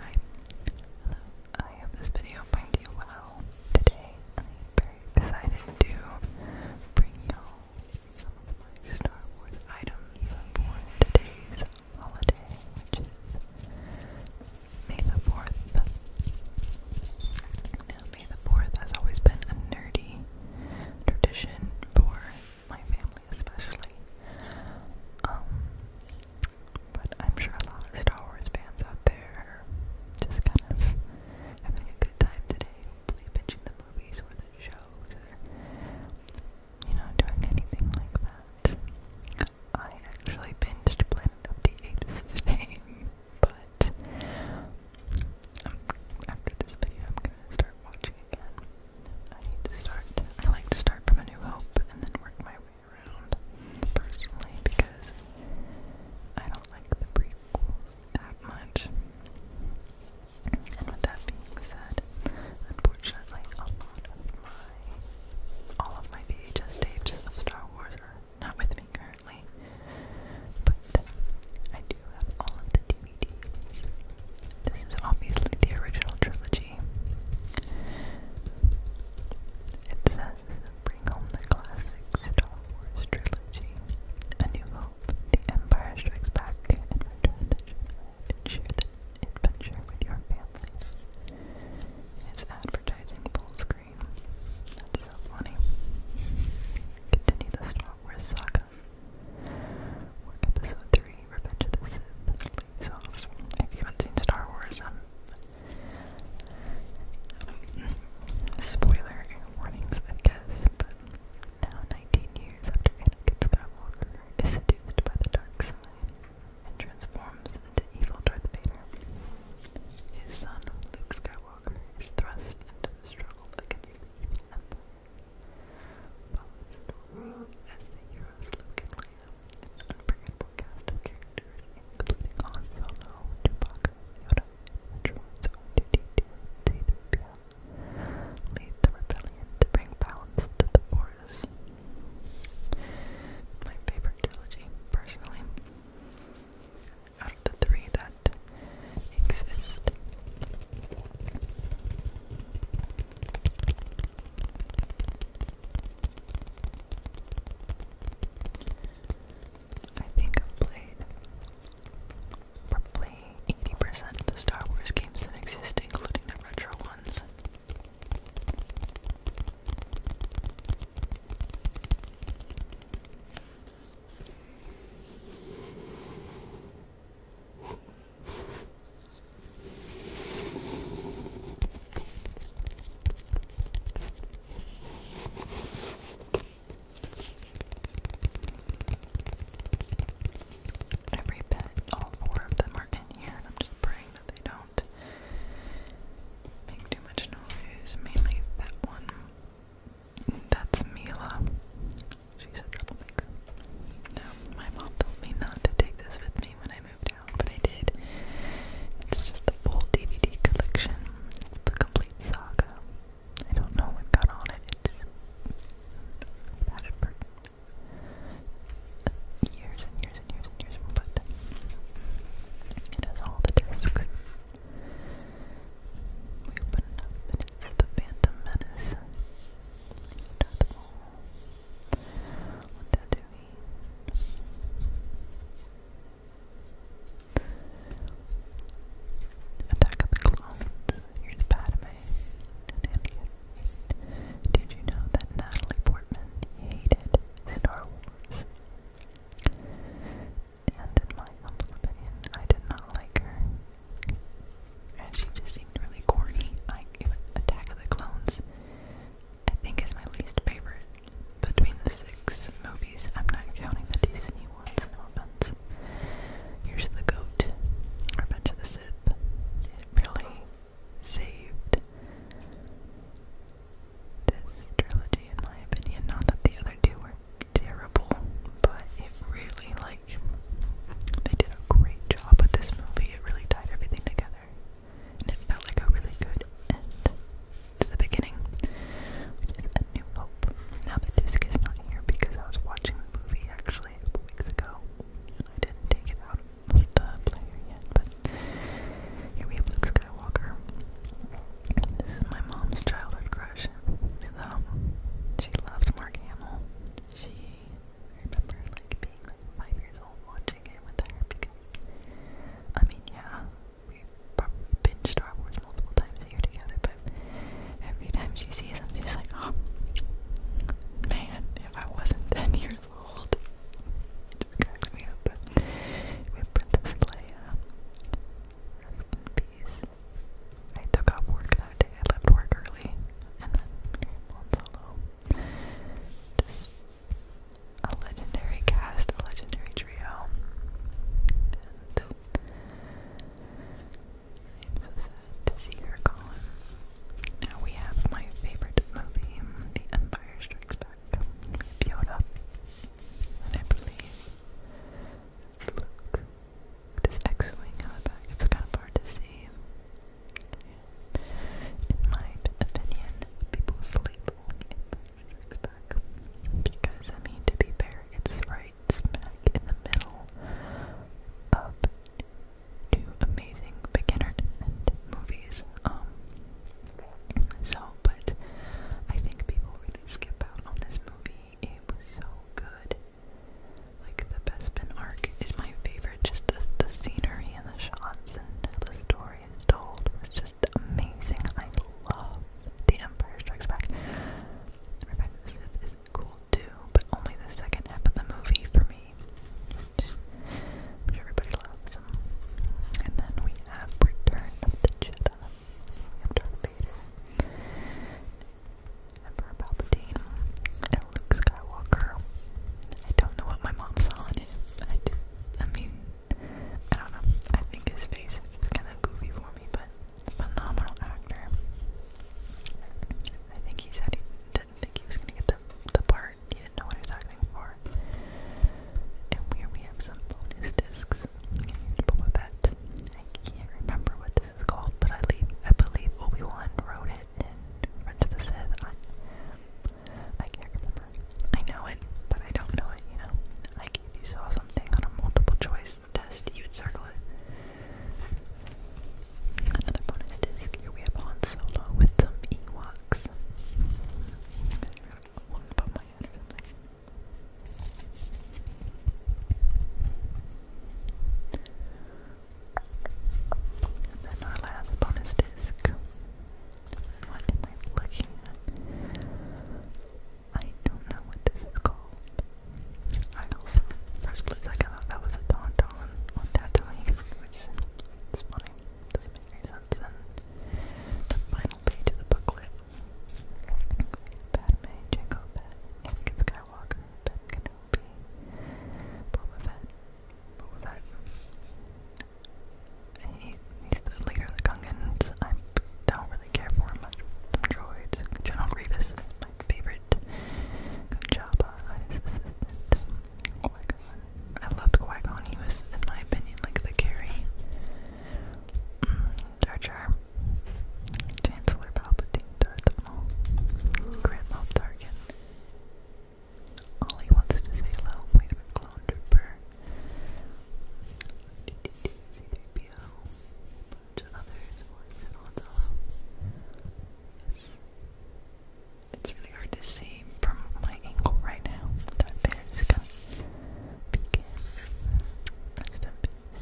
Hi, hello. I hope this video finds you well. Today, I'm very excited to bring y'all some of my Star Wars items for today's holiday, May the 4th. May the 4th has always been a nerdy tradition for my family, especially. Um, but I'm sure a lot of Star Wars fans out there are just kind of having a good time today, binging the movies or the shows you know, doing anything like that. I actually binged Planet of the Apes today, but after this video I'm gonna start watching again. I need to start, I like to start from A New Hope and then work my way personally because I don't like the briefs that much. And with that being said, unfortunately, all of my VHS tapes of Star Wars are not with me currently, but I do have all of the DVDs. This is obviously the original trilogy. It says, bring home the classic Star Wars trilogy, A New Hope, The Empire Strikes Back, and Return the Jedi, share the adventure with your family. It's advertising full screen. That's so funny. Continue the Star Wars saga. Where episode 3 if you haven't seen Star Wars, um, spoiler warnings, I guess, but now 19 years after Anakin Skywalker is seduced by the dark side and transforms into evil Darth Vader, his son Luke Skywalker is thrust into the struggle against evil Follow the story as the heroes Luke and Leia it's an including Han Solo, Chewbacca, Yoda, and Droids on the rebellion to bring balance to the Force. my favorite trilogy, personally. Out of the three that exist. I think I've played probably 80% of the Star Wars games that exist, including the retro ones. Every pet, all four of them are in here, and I'm just praying that they don't make too much noise. Mainly that one. That's Mila. She's a troublemaker. Now, my mom told me not to take this with me when I moved but I did. It's just the full DVD collection, the complete saga. I don't know what got on it. It's had it years and years and years and years, but it has all the discs. We open up, and it's the Phantom Menace. Death Wall. What that do? Attack of the Clones. Here's Padme Did you know that Natalie Portman hated Star Wars? And in my humble opinion, I did not like her. And she just seemed really corny. Like, Attack of the Clones I think is my least favorite between the six movies. I'm not counting the Disney ones, and no offense. Here's the Goat, Revenge of the Sith. It really saved this trilogy in my opinion. Not that the other two were terrible, but it really like they did a great job with this movie. It really tied everything together and it felt like a really good end to the beginning, which is A New Hope. Now the disc is not here because I was watching the movie actually a couple weeks ago, and I didn't take it out of the player yet, but here we have Luke Skywalker. This is my mom's childhood crush, she loves Mark Hamill. She I remember like being like five years old watching it with her because I mean yeah, we have probably been Star Wars multiple times a year together, but every time she sees them she's like, Oh man, if I wasn't ten years old just cracks me But we have Princess Leia. Rest I took off work that day. I left work early and then came on solo a legendary cast, a legendary trio. And so sad to see her gone. Now we have my favorite movie, The Empire Strikes Back. Yoda. And I believe Luke. This X-Wing on the back. It's kind of hard to see in my opinion, people sleep Back because, I mean, to be fair, it's right smack in the middle of two amazing beginner movies. Um, so, but I think people really skip out on this movie. It was so good. Like the Bespin arc is my favorite, just the, the scenery and the shots and the story story just amazing. I love The Empire Strikes Back. Revenge of the Sith is cool too, but only the second half of the movie for me, I'm sure everybody loves. Them. And then we have Return of the Jedi. We have Vader, Emperor Palpatine, Luke Skywalker. I don't know what my mom saw in it. I mean, I don't know. I think his face is kind of goofy for me, but phenomenal actor. I think he said he didn't think he was gonna get the the part. He didn't know what he was acting for. And here we have some bonus discs. Here's Boba I can't remember what this is called, but I leave. I believe Obi Wan wrote it Revenge of the Sith. I can't remember. I know it, but I don't know it, you know? Like, if you saw something on a multiple choice test, you'd circle it. Another bonus disc. Here we have Han Solo with some Ewoks. One above or something. And then our last bonus disc what am I looking at? I don't know what this is called. I also, for a split thought that was a tauntaun on tattooing, which is funny. Doesn't make any sense. the final page of the booklet. Padme, Jango Fett, Anakin Skywalker, Ben Kenobi, Boba Fett, Boba Fett, he's the leader of the Gungans. I don't really care for much. droids. General Grievous my favorite. Jabba is his assistant. Qui-Gon. I loved Qui-Gon. He was, in my opinion, like the carry. Mm, Jar Jar. Chancellor Palpatine. Darth Maul. Grand Moff Tarkin. All he wants to say hello. Wait Clone Trooper. C3PO. A bunch of Yes. It's really hard to see from my angle right now. That bear's gonna begin. Rest in peace.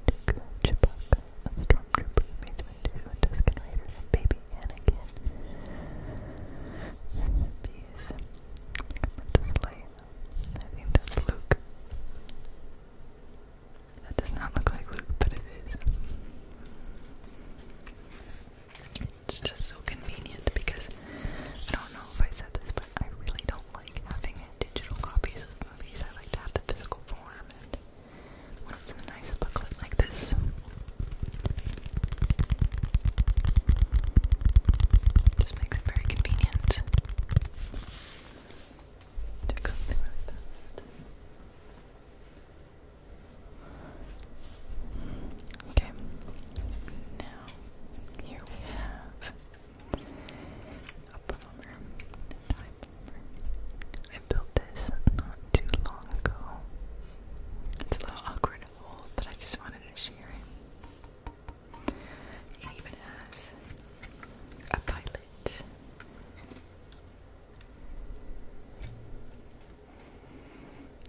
Count Dooku, Chewbacca, a stormtrooper, Mace Windu, a Tusken Raider, Baby be Anakin. Peace. Slave. I think that's Luke. That does not look like Luke, but it is. It's just so convenient because I don't know if I said this, but I really don't like having digital copies of movies. I like to have the physical form, nice booklet like this. Just makes it very convenient. Took something really fast. Okay. Now here we have a bomber. A I built this not too long ago. It's a little awkward old, I just wanted to share it. even has a pilot.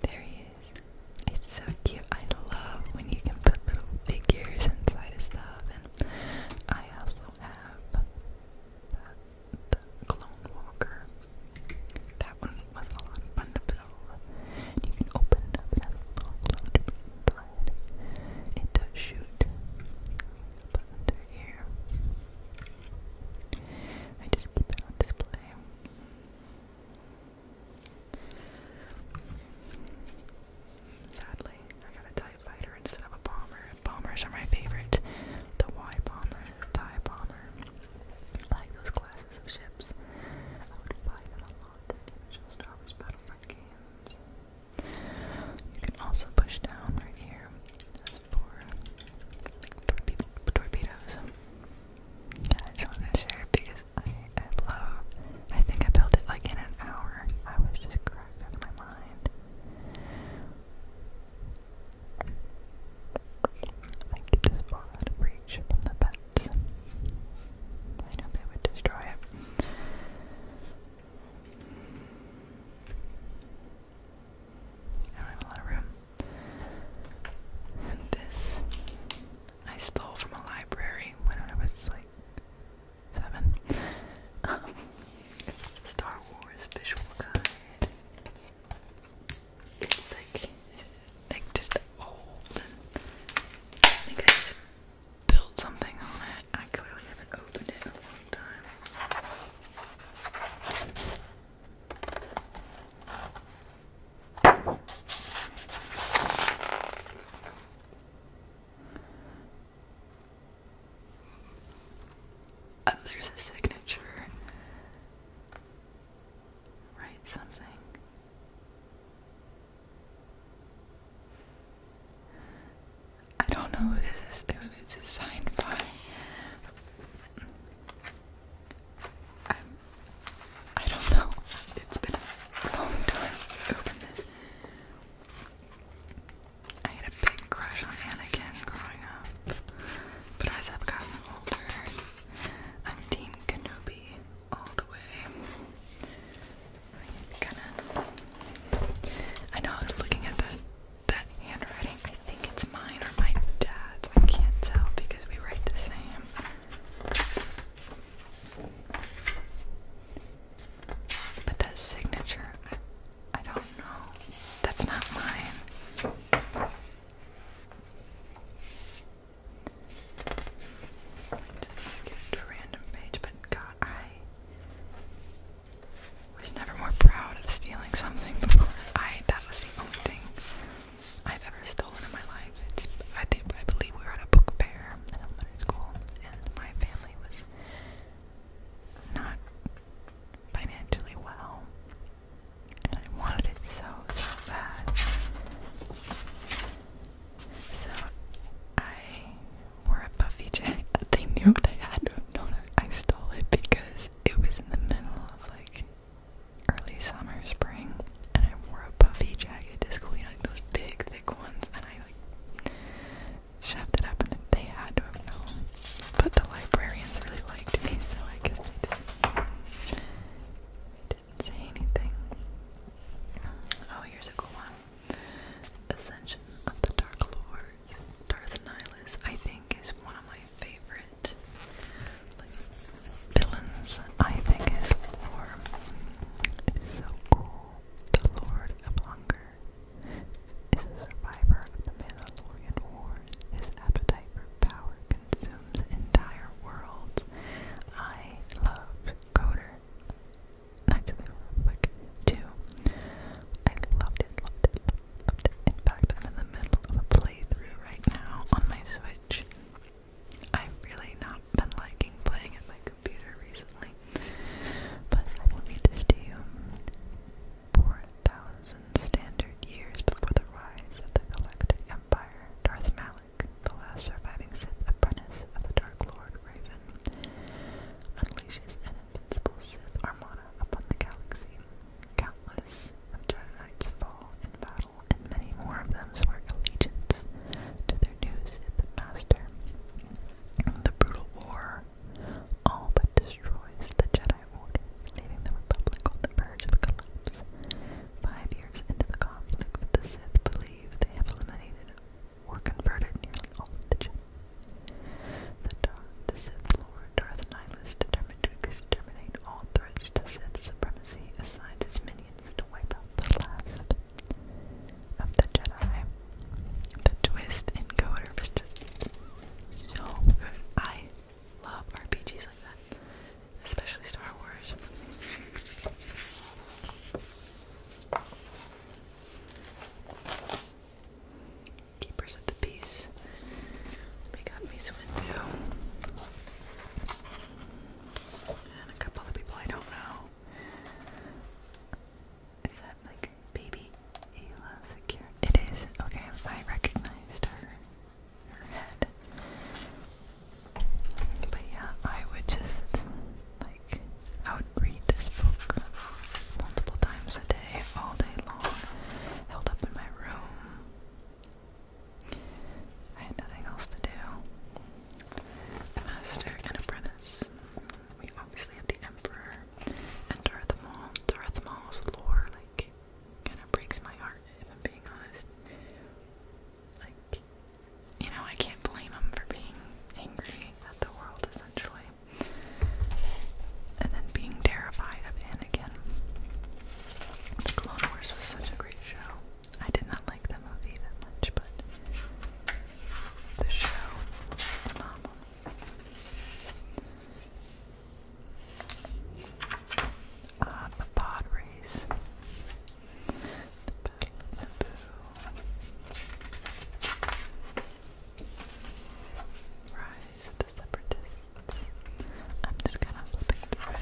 There he is. It's so cute. I love when you can put little figures inside of stuff, and I also have. Clone Walker. That one was a lot fun to build. you can open up, it little clone It does shoot. under here, I just keep it on display. Sadly, I got a TIE instead of a bomber. Bombers are my favorite. The Y bomber, the bomber. I like those classic of ships. You can also push down right here. That's for torpedoes. I just wanted to share because I, love. I think I built it like in an hour. I was just cracked out my mind. I keep this ball out of reach from the pets. I know they would destroy it. I don't have a lot of room. this I stole from a library when I was like seven. it's the Star Wars visual guide like, like just old and I think something on it. I clearly haven't opened it in a long time. Uh, there's a signature write something. I don't know who this is, signed by. I'm, I don't know. It's been a long time since I opened this. I had a big crush on Anakin growing up, but as I've gotten older I'm Team Kenobi all the way. I know I was looking at that that handwriting. I think it's mine or my dad's. I can't tell because we write the same. But that signature, I don't know. That's not mine. Just skip a random page, but God, I was never more proud of stealing something before. I that was the only thing I've ever stolen in my life. I think I believe we were at a book fair in elementary school, and my family was not financially well, and I wanted it so, so bad. So I wore a puffy jacket. They knew they had to have known I stole it because it was in the middle of like early summer, spring, and I wore a puffy jacket to school, you know, like those big, thick ones, and I like shoved it up, and they had to have known. But the librarians really liked me, so I guess they just didn't say anything. Oh, here's a cool one. Ascension of the Dark Lords. Darth Nihilus, I think, is one of my favorite villains. I think his lore is so cool. The Lord of Hunger is a survivor of the Mandalorian War. His appetite for power consumes entire worlds. I loved Coder. Knights of the Republic 2. I loved it, loved it, loved it. In fact, I'm in the middle of a playthrough right now on my Switch. I've really not been liking playing at my computer recently. But I will read this to you. 4,000 standard years before the rise of the Galactic Empire, Darth Malak, the last surviving Sith apprentice of the Dark Lord Raven, unleashes an invincible Sith armada upon the galaxy. Countless of Jedi's fall in battle, and many more of them swear allegiance to their new Sith master. The brutal war all but destroys the Jedi leaving the Republic on the verge of collapse. Five years into the conflict, the Sith believe they have eliminated or converted nearly all of the Jedi. The, Sith Lord Darth Nihilus determined to exterminate all threats to Sith supremacy assigned his minions to wipe out the last of the Jedi. The twist in Code is just so good. I love RPGs like that, especially Star Wars. Keepers of the Peace. We got Miss Windu. And a couple of people I don't know. Is that like baby Ayla Secure? It is. Okay, I recognized her. But yeah, I would just like I would read this book multiple times a day, all day long, held up in my room. I had nothing else to do. Master and apprentice. We obviously have the Emperor and Darth Maul. Darth Maul's lore, like kind of breaks my heart, if I'm being honest. Like, you know, I can't blame him for being angry at the world, essentially. And then being terrified of Anakin. The Clone Wars was such a great show. I did not like the movie that much, but the show was phenomenal. Uh, the pod Battle of Naboo. Rise the Separatists. I'm just kind of flipping through it.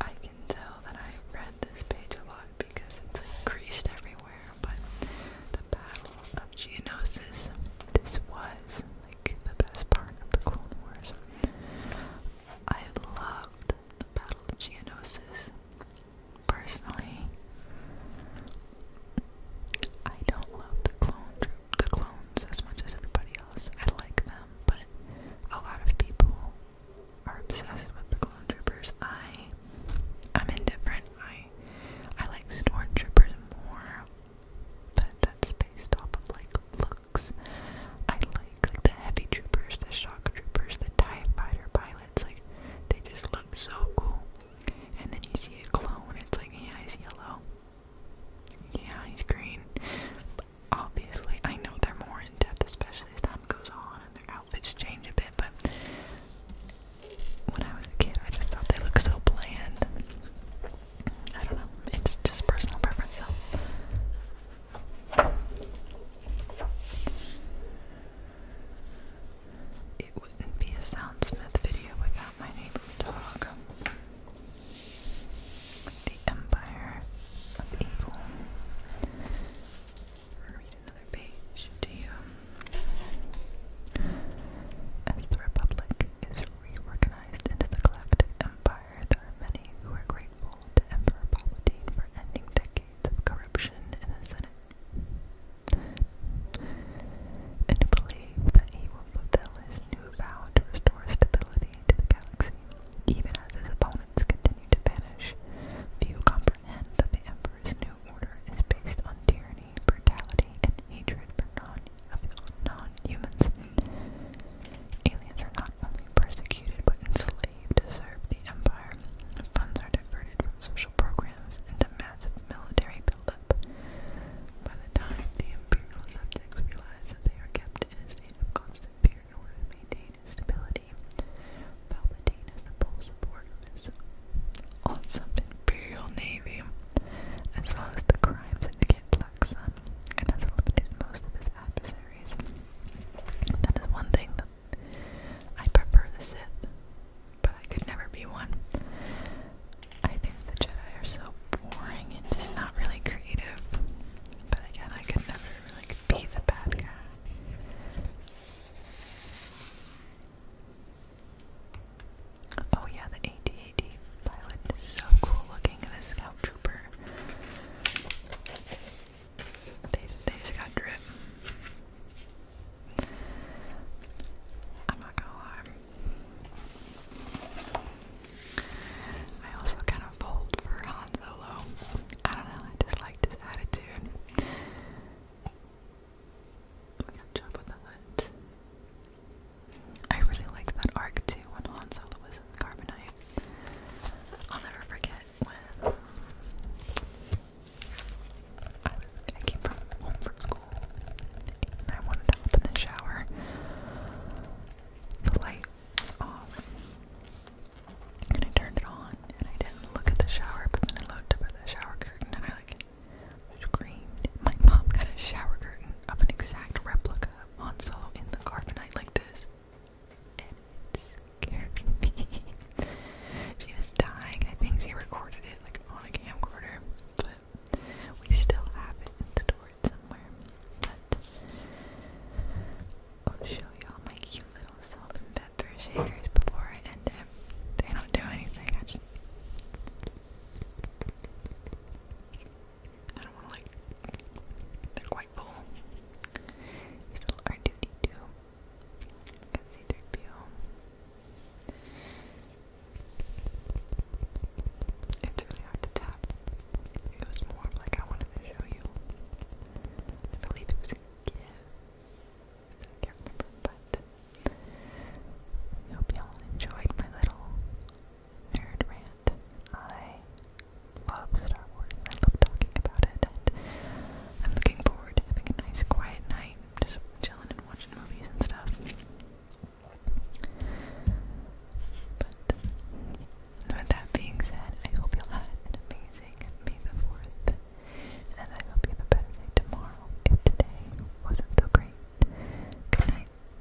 I can tell that I read this page a lot because it's like creased everywhere, but the Battle of Geonosis, this was like the best part of the Clone Wars. I loved the Battle of Geonosis. Personally, I don't love the clone the clones as much as everybody else. I like them, but a lot of people are obsessed with the clone troopers. I, I'm indifferent. I, I like stormtroopers more. But that's based off of like looks. I like like the heavy troopers, the shock troopers, the TIE fighter pilots, like they just look so cool. And then you see a clone, it's like, yeah, he's yellow. Yeah, he's green. obviously, I know they're more in depth, especially as time goes on and their outfits change a bit, but when I was a kid, I just thought they looked so bland. I don't know. It's just personal preference, though. It wouldn't be a Soundsmith video without my neighbor's dog. The Empire of Evil. Read another page to you. Um, As the Republic is reorganized into the collective empire, there are many who are grateful to Emperor Palpatine for ending decades of corruption in the Senate, and believe that he will fulfill his new vow to restore stability to the galaxy, even as his opponents continue to vanish. Few comprehend that the Emperor's new order is based on tyranny, brutality, and hatred for non of non-humans. Aliens are not only persecuted but enslaved to serve the empire. Funds are diverted from social programs into massive military buildup. By the time the imperial subjects realize that they are kept in a state of constant fear in order to maintain his stability, Palpatine has the full support of his awesome imperial navy, as well as the crime syndicate and has eliminated most of his adversaries. That is one thing that I prefer the Sith, but I could never be one. I think the Jedi are so boring and just not really creative. But again, I could never really be the bad guy. Oh yeah, the ATA so cool looking, and scout trooper. They, just got drip. I'm not gonna I also kind of pulled for Han Solo. I don't know, I just like his attitude. We got the Hutt. I really like that arc too when Han was in Carbonite. I'll never forget when I, came from home from school and I wanted to hop the shower. The light was off and I turned it on and I didn't look at the shower but then I looked at the shower curtain and I like screamed. My mom got a shower curtain of an exact replica Monsolo in the carbonite like this. And it scared she was dying. I think she recorded it like on a camcorder, but we still have it and stored somewhere. But I'll show y'all my cute little salt and pepper shakers before I end it. They don't do anything. I just I don't want to like, they're quite full. Here's a little R2D2. Got C3PO. It's really hard to tap. It was more like I wanted to show you. I believe it was a gift. but I hope y'all enjoyed my little nerd rant. I love Star Wars. I love talking about it, and I'm looking forward to having a nice, quiet night, just chilling and watching movies and stuff. But with that being said, I hope you'll have an amazing May the Fourth, and I hope you have a better day tomorrow. If today wasn't so great, good night.